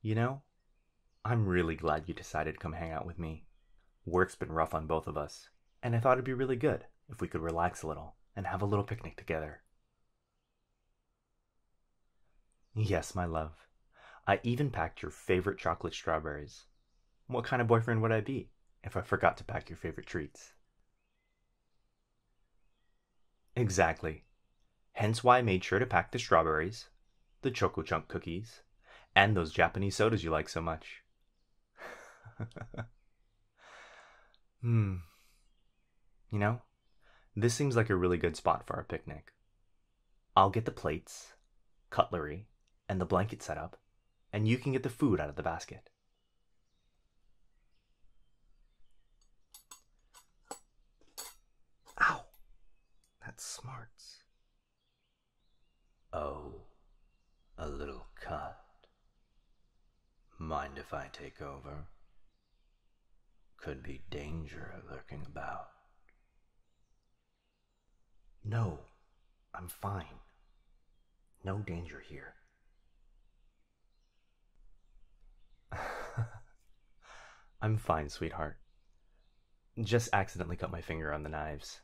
You know, I'm really glad you decided to come hang out with me. Work's been rough on both of us, and I thought it'd be really good if we could relax a little and have a little picnic together. Yes, my love. I even packed your favorite chocolate strawberries. What kind of boyfriend would I be if I forgot to pack your favorite treats? Exactly. Hence why I made sure to pack the strawberries, the Choco Chunk cookies, and those Japanese sodas you like so much. hmm. You know, this seems like a really good spot for our picnic. I'll get the plates, cutlery, and the blanket set up, and you can get the food out of the basket. Ow! That smarts. Oh, a little cut. Mind if I take over? Could be danger lurking about. No, I'm fine. No danger here. I'm fine, sweetheart. Just accidentally cut my finger on the knives.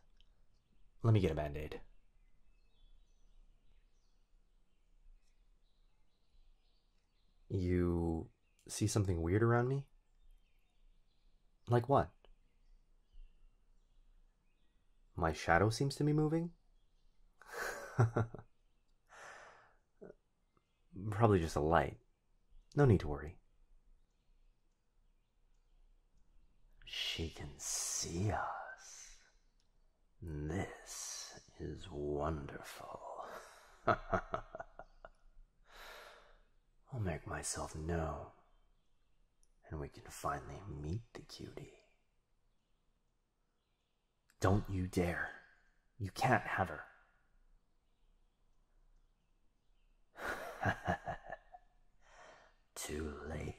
Let me get a band aid. You see something weird around me? Like what? My shadow seems to be moving? Probably just a light. No need to worry. She can see us. This is wonderful. I'll make myself known, and we can finally meet the cutie. Don't you dare. You can't have her. Too late.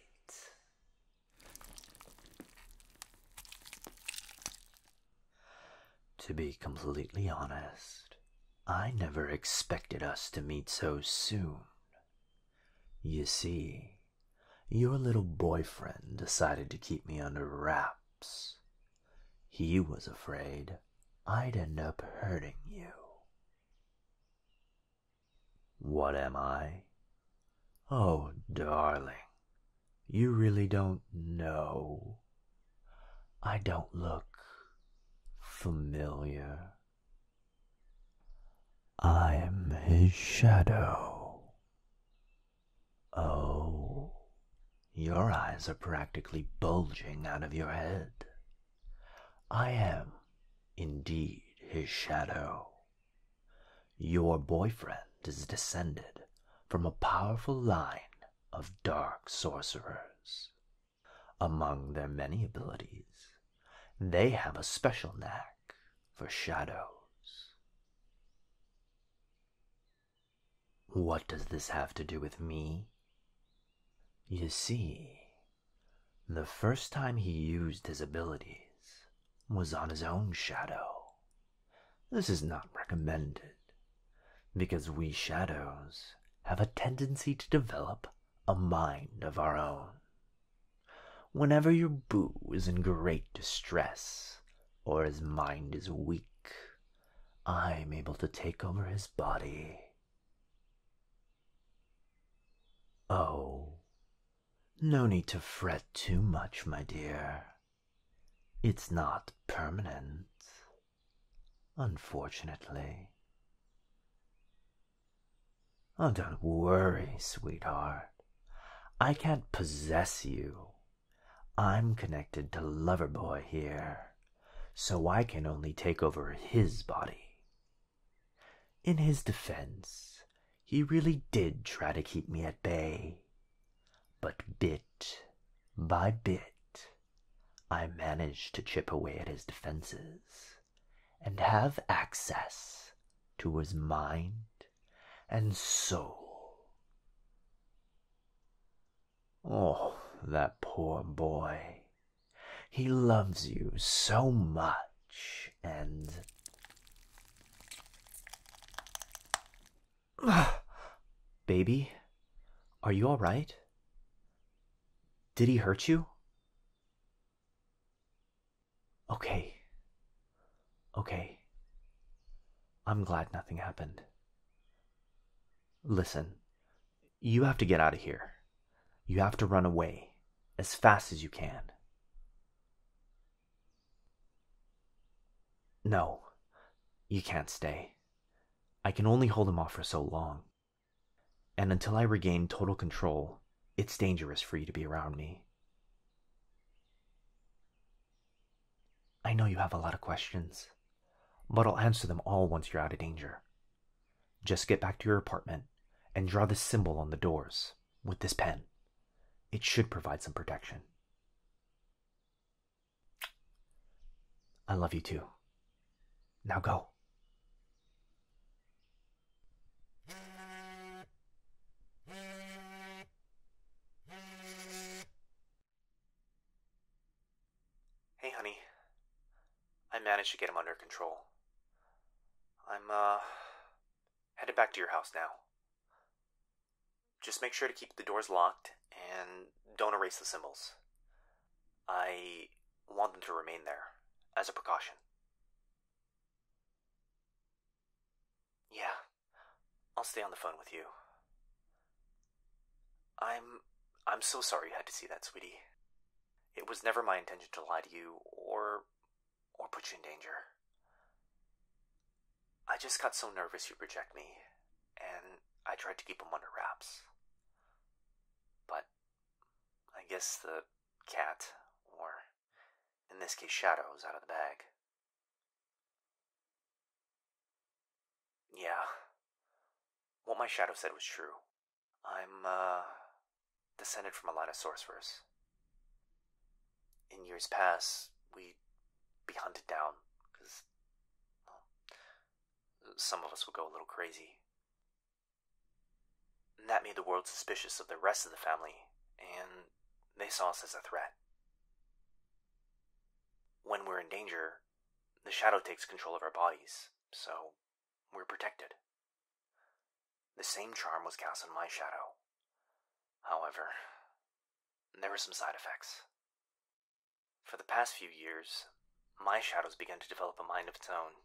To be completely honest, I never expected us to meet so soon. You see, your little boyfriend decided to keep me under wraps he was afraid I'd end up hurting you. What am I? Oh, darling, you really don't know. I don't look familiar. I'm his shadow. Oh, your eyes are practically bulging out of your head. I am indeed his shadow. Your boyfriend is descended from a powerful line of dark sorcerers. Among their many abilities, they have a special knack for shadows. What does this have to do with me? You see, the first time he used his abilities was on his own shadow. This is not recommended, because we shadows have a tendency to develop a mind of our own. Whenever your boo is in great distress, or his mind is weak, I'm able to take over his body. Oh, no need to fret too much, my dear. It's not permanent, unfortunately. Oh, don't worry, sweetheart. I can't possess you I'm connected to Loverboy here, so I can only take over his body. In his defense, he really did try to keep me at bay, but bit by bit, I managed to chip away at his defenses and have access to his mind and soul. Oh, that poor boy. He loves you so much, and. Baby, are you all right? Did he hurt you? Okay. Okay. I'm glad nothing happened. Listen, you have to get out of here. You have to run away as fast as you can. No, you can't stay. I can only hold him off for so long. And until I regain total control, it's dangerous for you to be around me. I know you have a lot of questions, but I'll answer them all once you're out of danger. Just get back to your apartment and draw this symbol on the doors with this pen. It should provide some protection. I love you too. Now go. Hey, honey. I managed to get him under control. I'm, uh, headed back to your house now. Just make sure to keep the doors locked and don't erase the symbols. I want them to remain there as a precaution. Yeah. I'll stay on the phone with you. I'm. I'm so sorry you had to see that, sweetie. It was never my intention to lie to you or. or put you in danger. I just got so nervous you'd reject me, and I tried to keep them under wraps. But I guess the cat, or in this case, Shadow, is out of the bag. Yeah. What my shadow said was true. I'm, uh, descended from a line of sorcerers. In years past, we'd be hunted down, because, some of us would go a little crazy. And that made the world suspicious of the rest of the family, and they saw us as a threat. When we're in danger, the shadow takes control of our bodies, so we're protected. The same charm was cast on my shadow. However, there were some side effects. For the past few years, my shadow's begun to develop a mind of its own,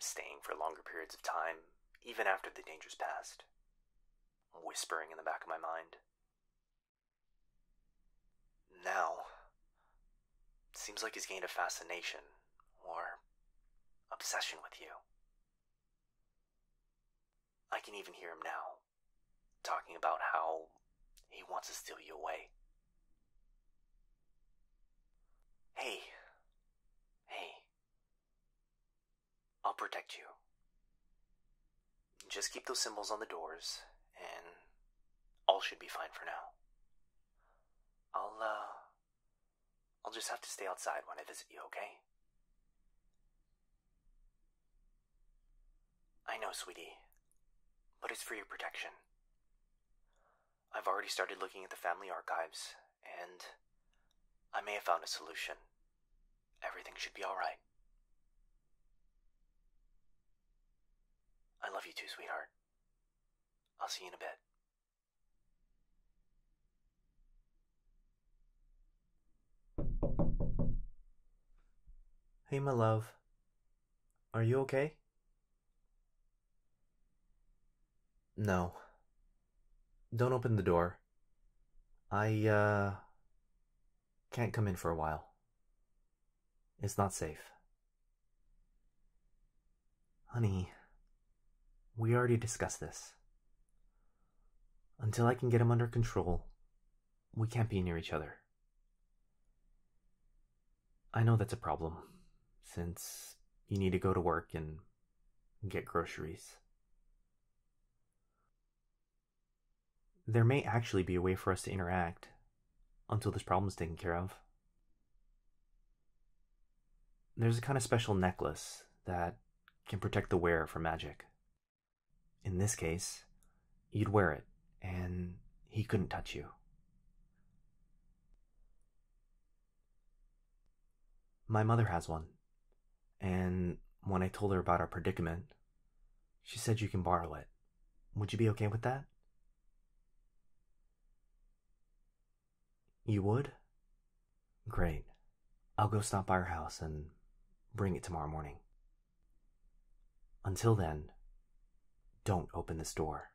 staying for longer periods of time, even after the danger's passed, whispering in the back of my mind, now, seems like he's gained a fascination or obsession with you. I can even hear him now, talking about how he wants to steal you away. Hey, hey, I'll protect you. Just keep those symbols on the doors, and all should be fine for now. I'll, uh. I'll just have to stay outside when I visit you, okay? I know, sweetie, but it's for your protection. I've already started looking at the family archives, and I may have found a solution. Everything should be alright. I love you too, sweetheart. I'll see you in a bit. Hey, my love. Are you okay? No. Don't open the door. I, uh. Can't come in for a while. It's not safe. Honey, we already discussed this. Until I can get him under control, we can't be near each other. I know that's a problem, since you need to go to work and get groceries. There may actually be a way for us to interact until this problem is taken care of. There's a kind of special necklace that can protect the wearer from magic. In this case, you'd wear it, and he couldn't touch you. My mother has one. And when I told her about our predicament, she said you can borrow it. Would you be okay with that? You would? Great. I'll go stop by her house and bring it tomorrow morning. Until then, don't open this door.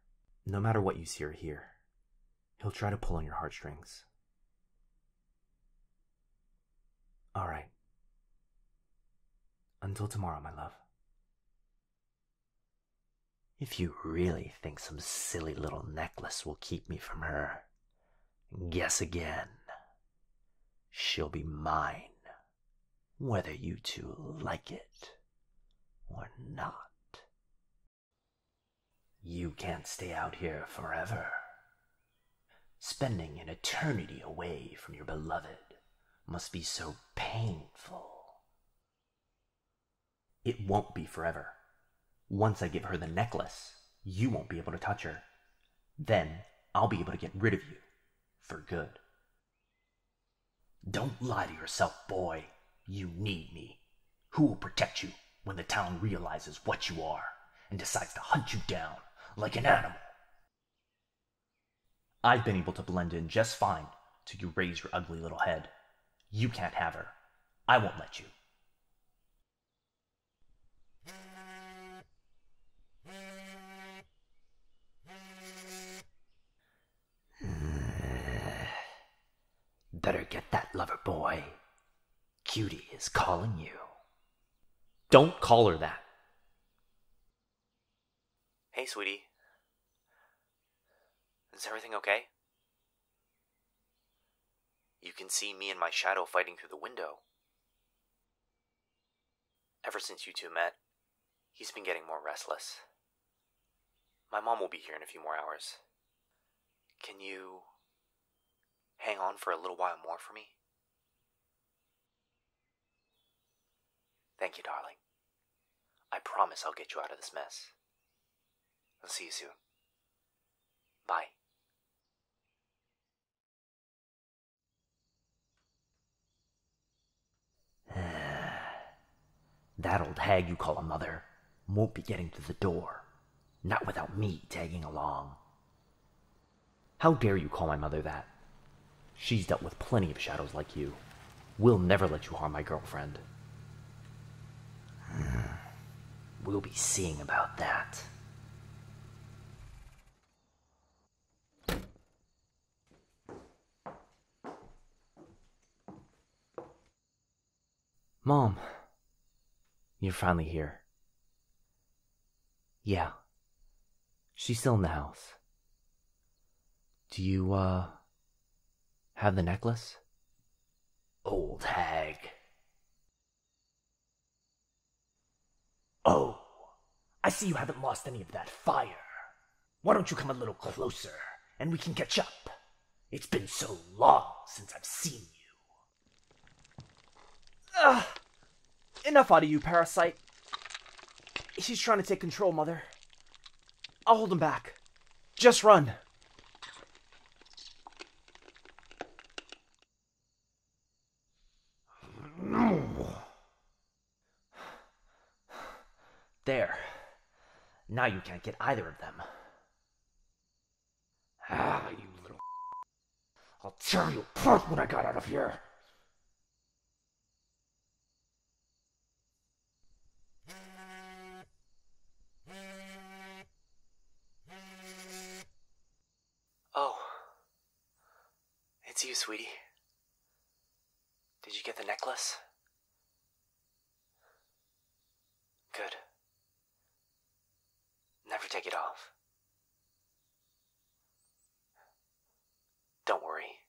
No matter what you see or hear, he'll try to pull on your heartstrings. All right. Until tomorrow, my love. If you really think some silly little necklace will keep me from her, guess again. She'll be mine, whether you two like it or not. You can't stay out here forever. Spending an eternity away from your beloved must be so painful. It won't be forever. Once I give her the necklace, you won't be able to touch her. Then I'll be able to get rid of you for good. Don't lie to yourself, boy. You need me. Who will protect you when the town realizes what you are? and decides to hunt you down like an animal. I've been able to blend in just fine till you raise your ugly little head. You can't have her. I won't let you. Better get that lover boy. Cutie is calling you. Don't call her that. Hey, sweetie. Is everything okay? You can see me and my shadow fighting through the window. Ever since you two met, he's been getting more restless. My mom will be here in a few more hours. Can you hang on for a little while more for me? Thank you, darling. I promise I'll get you out of this mess. I'll see you soon. Bye. that old hag you call a mother won't be getting through the door. Not without me tagging along. How dare you call my mother that? She's dealt with plenty of shadows like you. We'll never let you harm my girlfriend. We'll be seeing about that. Mom, you're finally here. Yeah. She's still in the house. Do you, uh, have the necklace? Old hag. Oh, I see you haven't lost any of that fire. Why don't you come a little closer and we can catch up? It's been so long since I've seen you. Enough out of you, parasite. She's trying to take control, Mother. I'll hold him back. Just run. There. Now you can't get either of them. Ah, you little. I'll tear you apart when I got out of here! Oh. It's you, sweetie. Did you get the necklace? Good. Never take it off. Don't worry.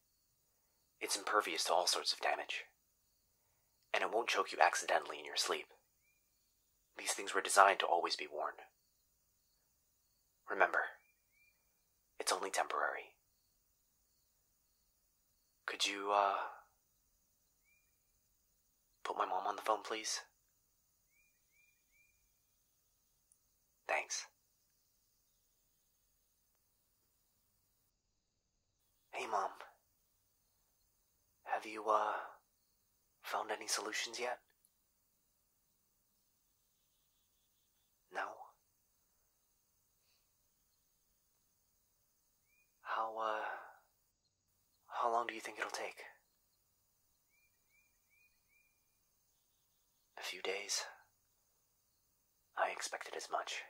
It's impervious to all sorts of damage. And it won't choke you accidentally in your sleep. These things were designed to always be worn. Remember, it's only temporary. Could you, uh. Put my mom on the phone, please. Thanks. Hey, Mom. Have you, uh, found any solutions yet? No? How, uh, how long do you think it'll take? A few days. I expected as much.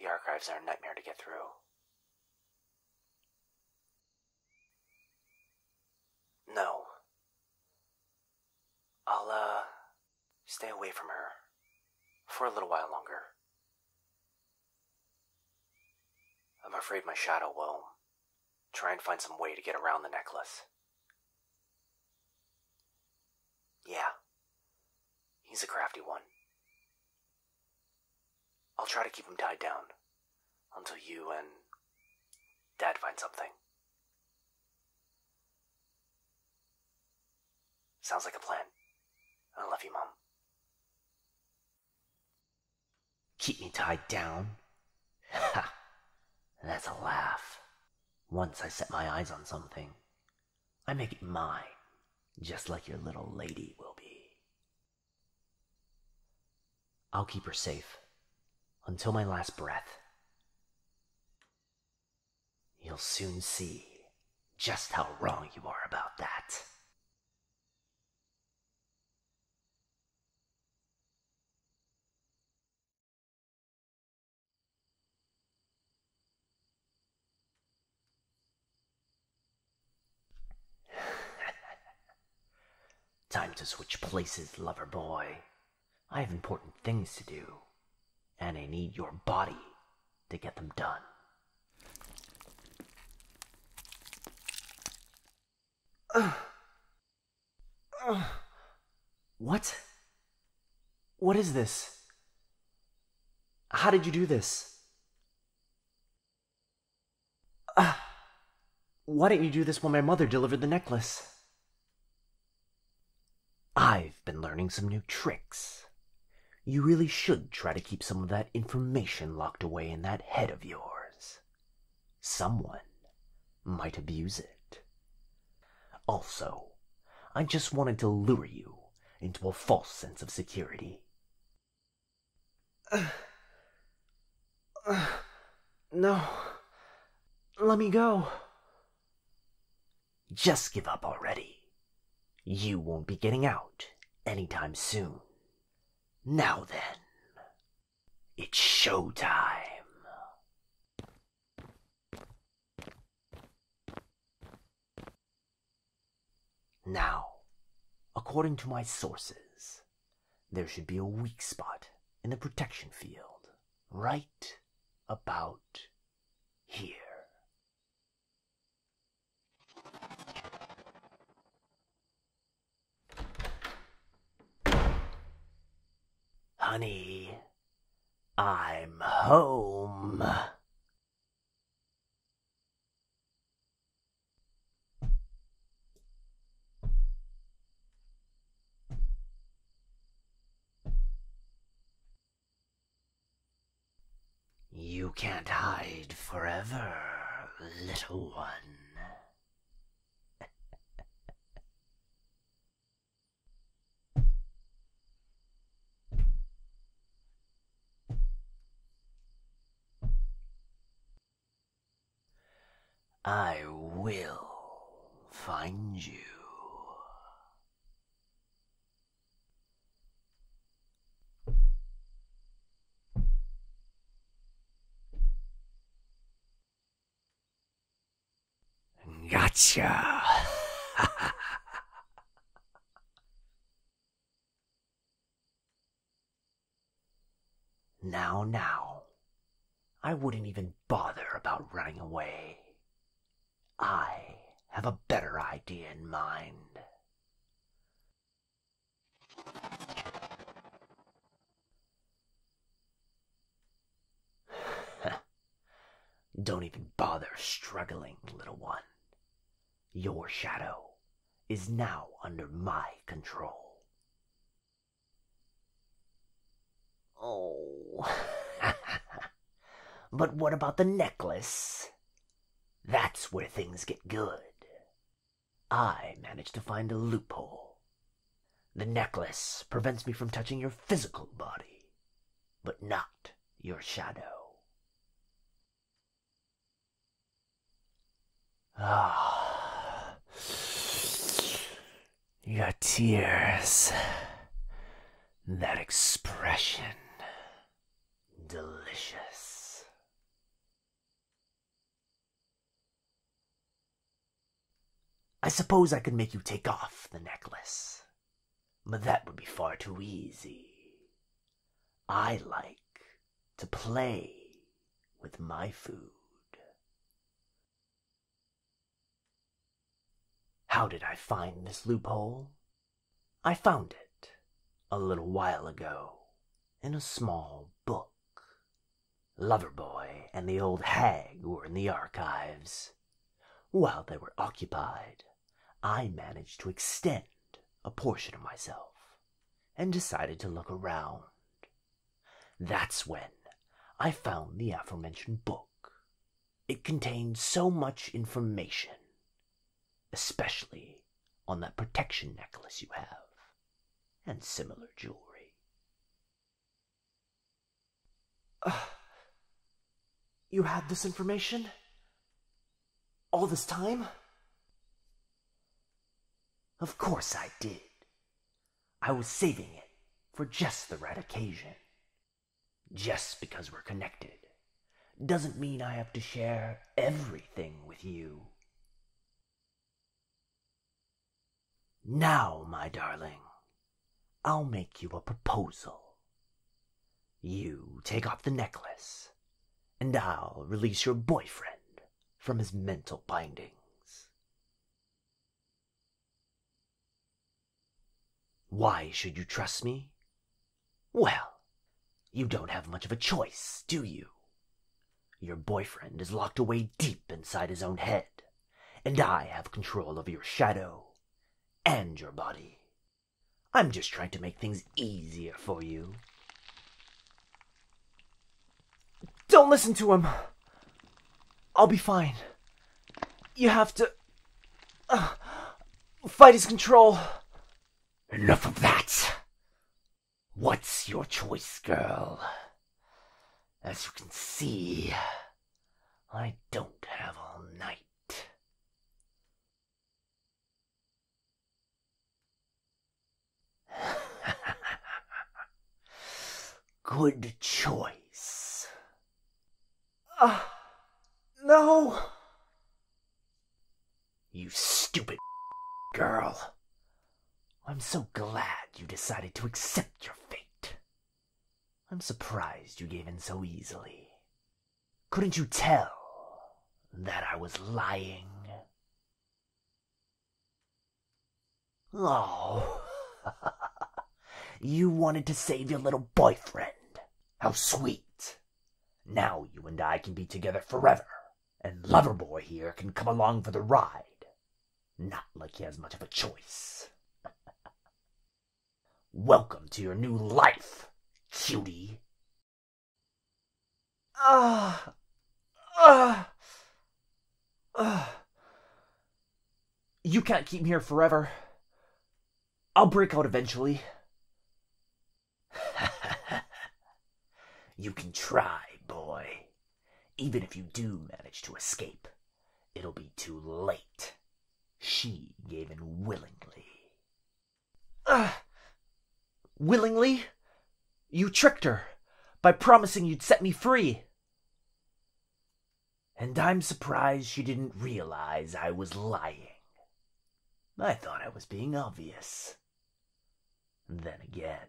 The archives are a nightmare to get through. No. I'll, uh, stay away from her. For a little while longer. I'm afraid my shadow will Try and find some way to get around the necklace. Yeah. He's a crafty one. I'll try to keep him tied down until you and Dad find something. Sounds like a plan. I love you, Mom. Keep me tied down? Ha! That's a laugh. Once I set my eyes on something, I make it mine, just like your little lady will be. I'll keep her safe until my last breath. You'll soon see just how wrong you are about that. Time to switch places, lover boy. I have important things to do, and I need your body to get them done. what? What is this? How did you do this? Uh, why didn't you do this when my mother delivered the necklace? I've been learning some new tricks. You really should try to keep some of that information locked away in that head of yours. Someone might abuse it. Also, I just wanted to lure you into a false sense of security. no. Let me go. Just give up already. You won't be getting out any time soon. Now then, it's showtime. Now, according to my sources, there should be a weak spot in the protection field right about here. Honey, I'm home. You can't hide forever, little one. I will find you. Gotcha. now, now, I wouldn't even bother about running away. I have a better idea in mind. Don't even bother struggling, little one. Your shadow is now under my control. Oh. but what about the necklace? That's where things get good. I managed to find a loophole. The necklace prevents me from touching your physical body, but not your shadow. Ah, your tears, that expression, delicious. I suppose I could make you take off the necklace, but that would be far too easy. I like to play with my food. How did I find this loophole? I found it a little while ago in a small book. Loverboy and the old hag were in the archives. While they were occupied, I managed to extend a portion of myself and decided to look around. That's when I found the aforementioned book. It contained so much information, especially on that protection necklace you have and similar jewelry. Uh, you had this information? All this time? Of course I did. I was saving it for just the right occasion. Just because we're connected doesn't mean I have to share everything with you. Now, my darling, I'll make you a proposal. You take off the necklace, and I'll release your boyfriend from his mental bindings. Why should you trust me? Well, you don't have much of a choice, do you? Your boyfriend is locked away deep inside his own head, and I have control over your shadow and your body. I'm just trying to make things easier for you. Don't listen to him. I'll be fine. You have to uh, fight his control. Enough of that. What's your choice, girl? As you can see, I don't have all night. Good choice. Ah, no. You stupid girl. I'm so glad you decided to accept your fate. I'm surprised you gave in so easily. Couldn't you tell that I was lying? Oh, you wanted to save your little boyfriend. How sweet. Now you and I can be together forever and Loverboy here can come along for the ride. Not like he has much of a choice. Welcome to your new life, cutie. Ah, ah, ah. You can't keep me here forever. I'll break out eventually. you can try, boy. Even if you do manage to escape, it'll be too late. She gave in willingly. Ah! willingly? You tricked her by promising you'd set me free. And I'm surprised she didn't realize I was lying. I thought I was being obvious. Then again,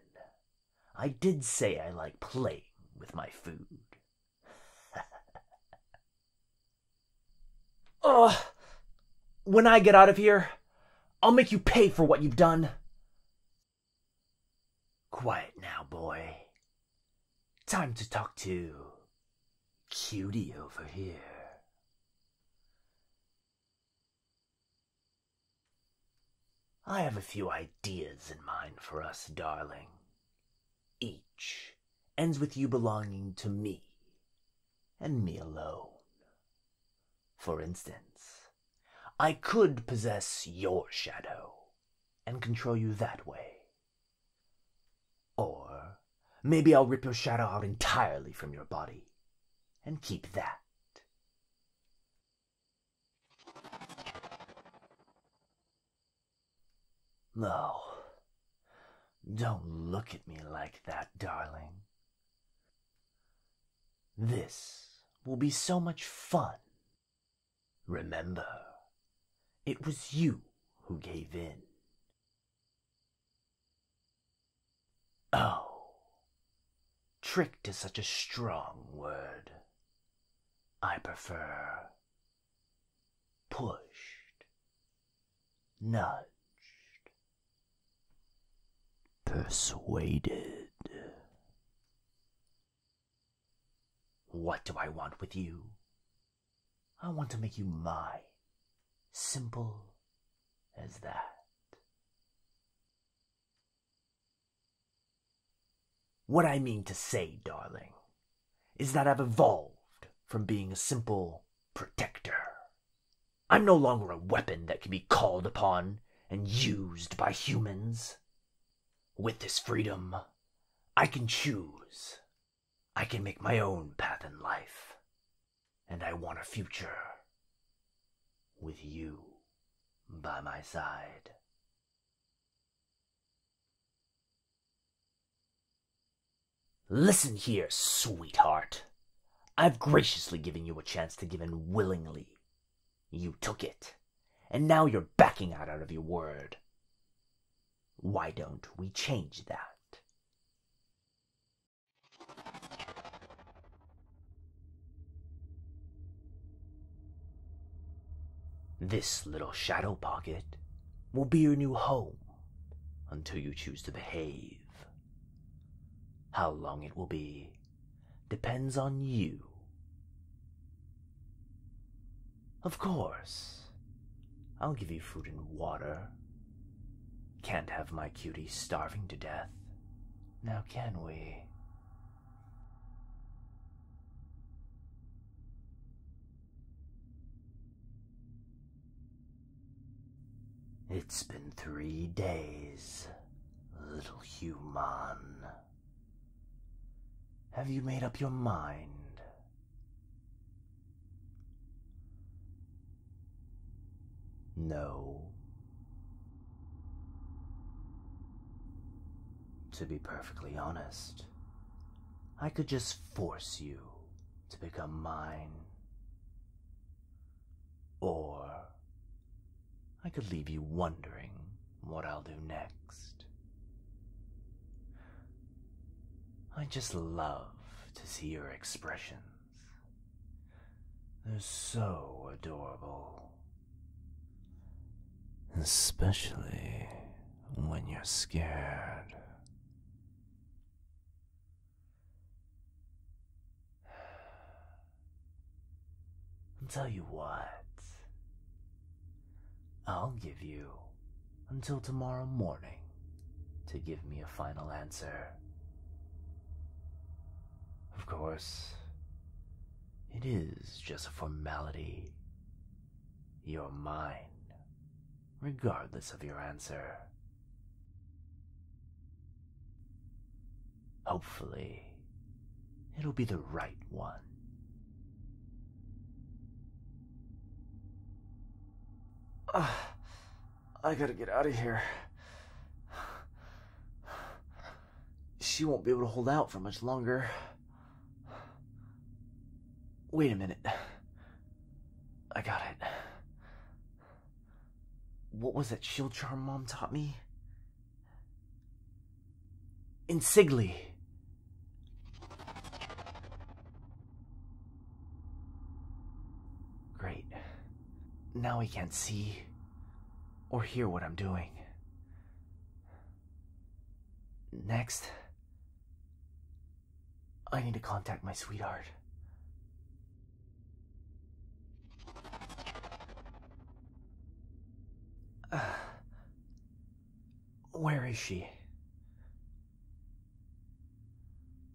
I did say I like playing with my food. Ah, when I get out of here, I'll make you pay for what you've done. Quiet now, boy. Time to talk to Cutie over here. I have a few ideas in mind for us, darling. Each ends with you belonging to me, and me alone. For instance, I could possess your shadow and control you that way. Or maybe I'll rip your shadow out entirely from your body and keep that no. Don't look at me like that, darling. This will be so much fun. Remember, it was you who gave in. Oh, tricked is such a strong word. I prefer pushed, nudged, persuaded. What do I want with you? I want to make you my Simple as that. What I mean to say, darling, is that I've evolved from being a simple protector. I'm no longer a weapon that can be called upon and used by humans. With this freedom, I can choose. I can make my own path in life and I want a future with you by my side. Listen here, sweetheart. I've graciously given you a chance to give in willingly. You took it, and now you're backing out out of your word. Why don't we change that? This little shadow pocket will be your new home until you choose to behave. How long it will be depends on you. Of course, I'll give you food and water can't have my cutie starving to death, now can we? It's been three days, little human. Have you made up your mind? No. To be perfectly honest, I could just force you to become mine. Or I could leave you wondering what I'll do next. I just love to see your expression. They're so adorable. Especially when you're scared. I'll tell you what. I'll give you until tomorrow morning to give me a final answer of course, it is just a formality. You're mine, regardless of your answer. Hopefully, it'll be the right one. Ah, I gotta get out of here. She won't be able to hold out for much longer. Wait a minute. I got it. What was that shield charm mom taught me? Insigli. Great. Now he can't see or hear what I'm doing. Next, I need to contact my sweetheart. where is she?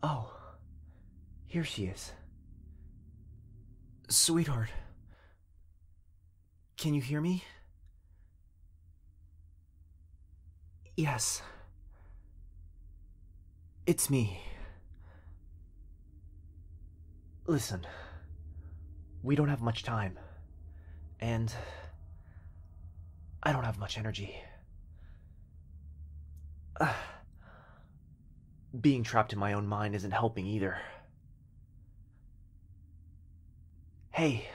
Oh, here she is. Sweetheart, can you hear me? Yes. It's me. Listen, we don't have much time, and I don't have much energy. Uh, being trapped in my own mind isn't helping either. Hey.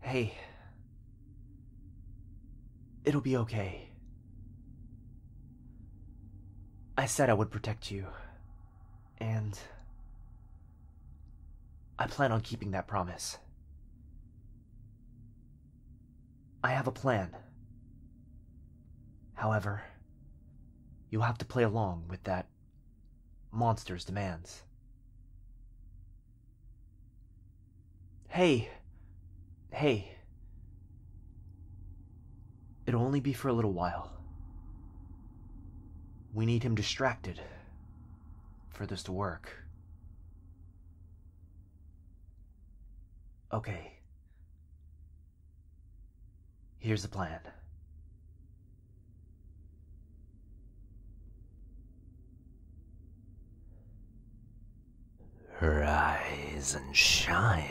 Hey. It'll be okay. I said I would protect you. And. I plan on keeping that promise. I have a plan. However, you'll have to play along with that monster's demands. Hey, hey. It'll only be for a little while. We need him distracted for this to work. Okay. Here's the plan. Rise and shine.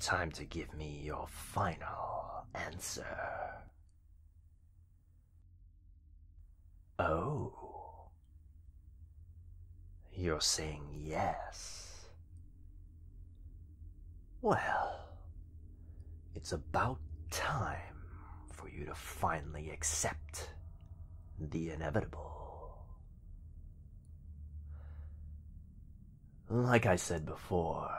Time to give me your final answer. Oh. You're saying yes. Well, it's about time for you to finally accept the inevitable. Like I said before,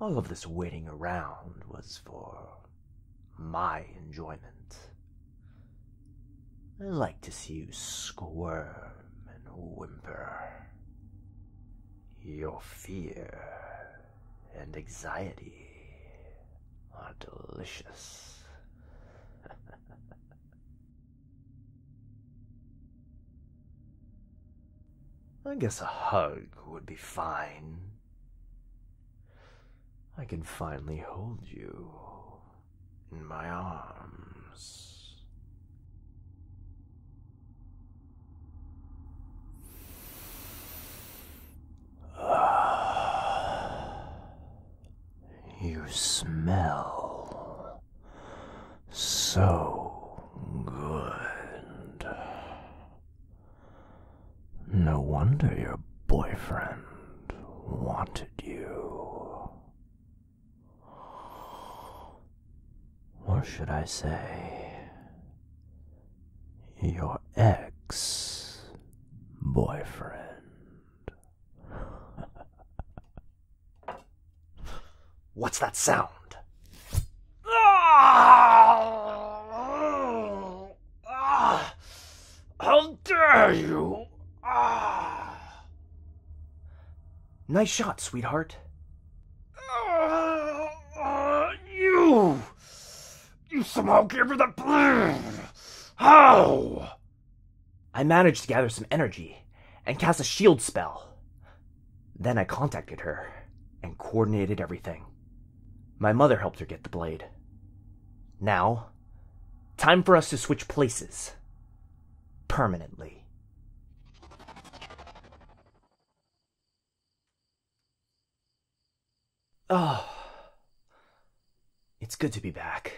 all of this waiting around was for my enjoyment. I like to see you squirm and whimper. Your fear and anxiety are delicious. I guess a hug would be fine. I can finally hold you in my arms. You smell so good. No wonder your boyfriend wanted you. Or should I say, your ex boyfriend? What's that sound? Ah! Ah! How dare you! Ah! Nice shot, sweetheart. Ah! uh, you! You somehow gave her the blood! How? I managed to gather some energy and cast a shield spell. Then I contacted her and coordinated everything. My mother helped her get the blade. Now, time for us to switch places. Permanently. Oh, it's good to be back.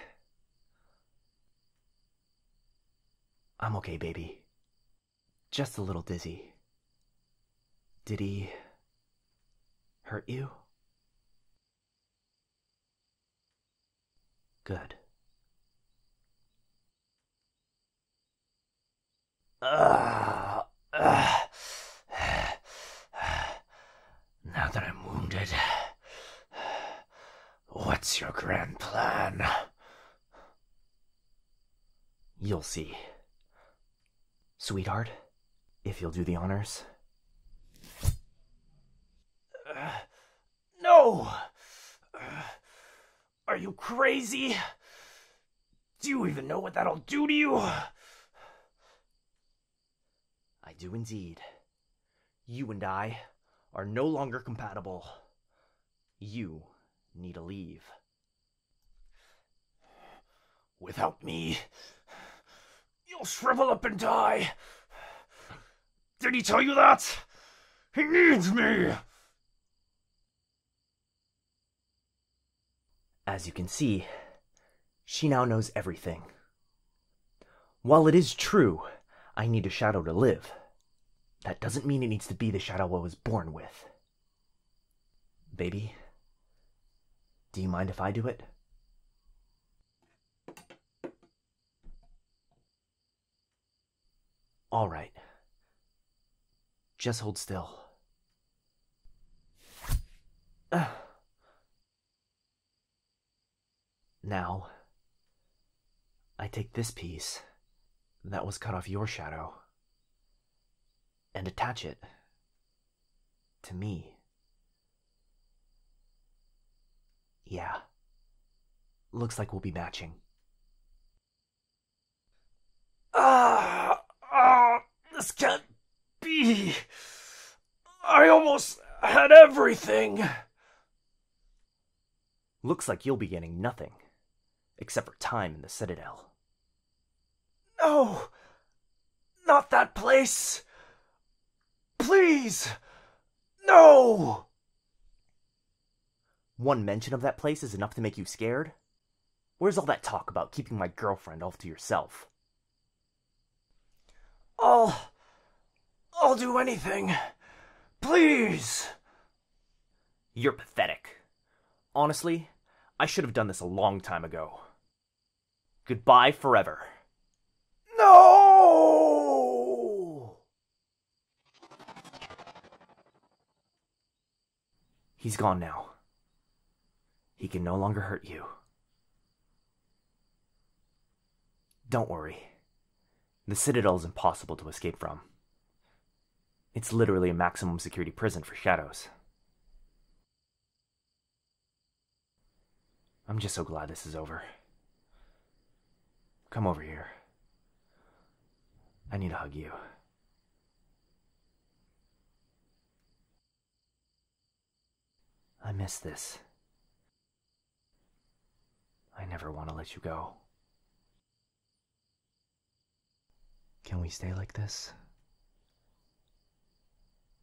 I'm okay, baby. Just a little dizzy. Did he hurt you? Good. now that I'm wounded, what's your grand plan? You'll see. Sweetheart, if you'll do the honors. Uh, no! Uh, are you crazy? Do you even know what that'll do to you? I do indeed. You and I are no longer compatible. You need to leave. Without me, you'll shrivel up and die. Did he tell you that? He needs me! As you can see, she now knows everything. While it is true, I need a shadow to live, that doesn't mean it needs to be the shadow I was born with. Baby, do you mind if I do it? All right. Just hold still. now, I take this piece that was cut off your shadow and attach it to me. Yeah. Looks like we'll be matching. Ah, ah, this can't be. I almost had everything. Looks like you'll be getting nothing, except for time in the Citadel. No, not that place. Please, no. One mention of that place is enough to make you scared? Where's all that talk about keeping my girlfriend all to yourself? I'll. I'll do anything. Please! You're pathetic. Honestly, I should have done this a long time ago. Goodbye forever. No! He's gone now. He can no longer hurt you. Don't worry. The citadel is impossible to escape from. It's literally a maximum security prison for shadows. I'm just so glad this is over. Come over here. I need to hug you. I miss this. I never want to let you go. Can we stay like this?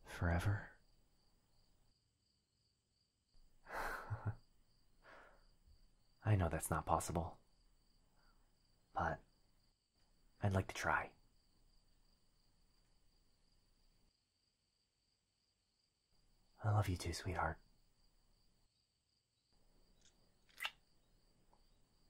Forever? I know that's not possible. But I'd like to try. I love you too, sweetheart.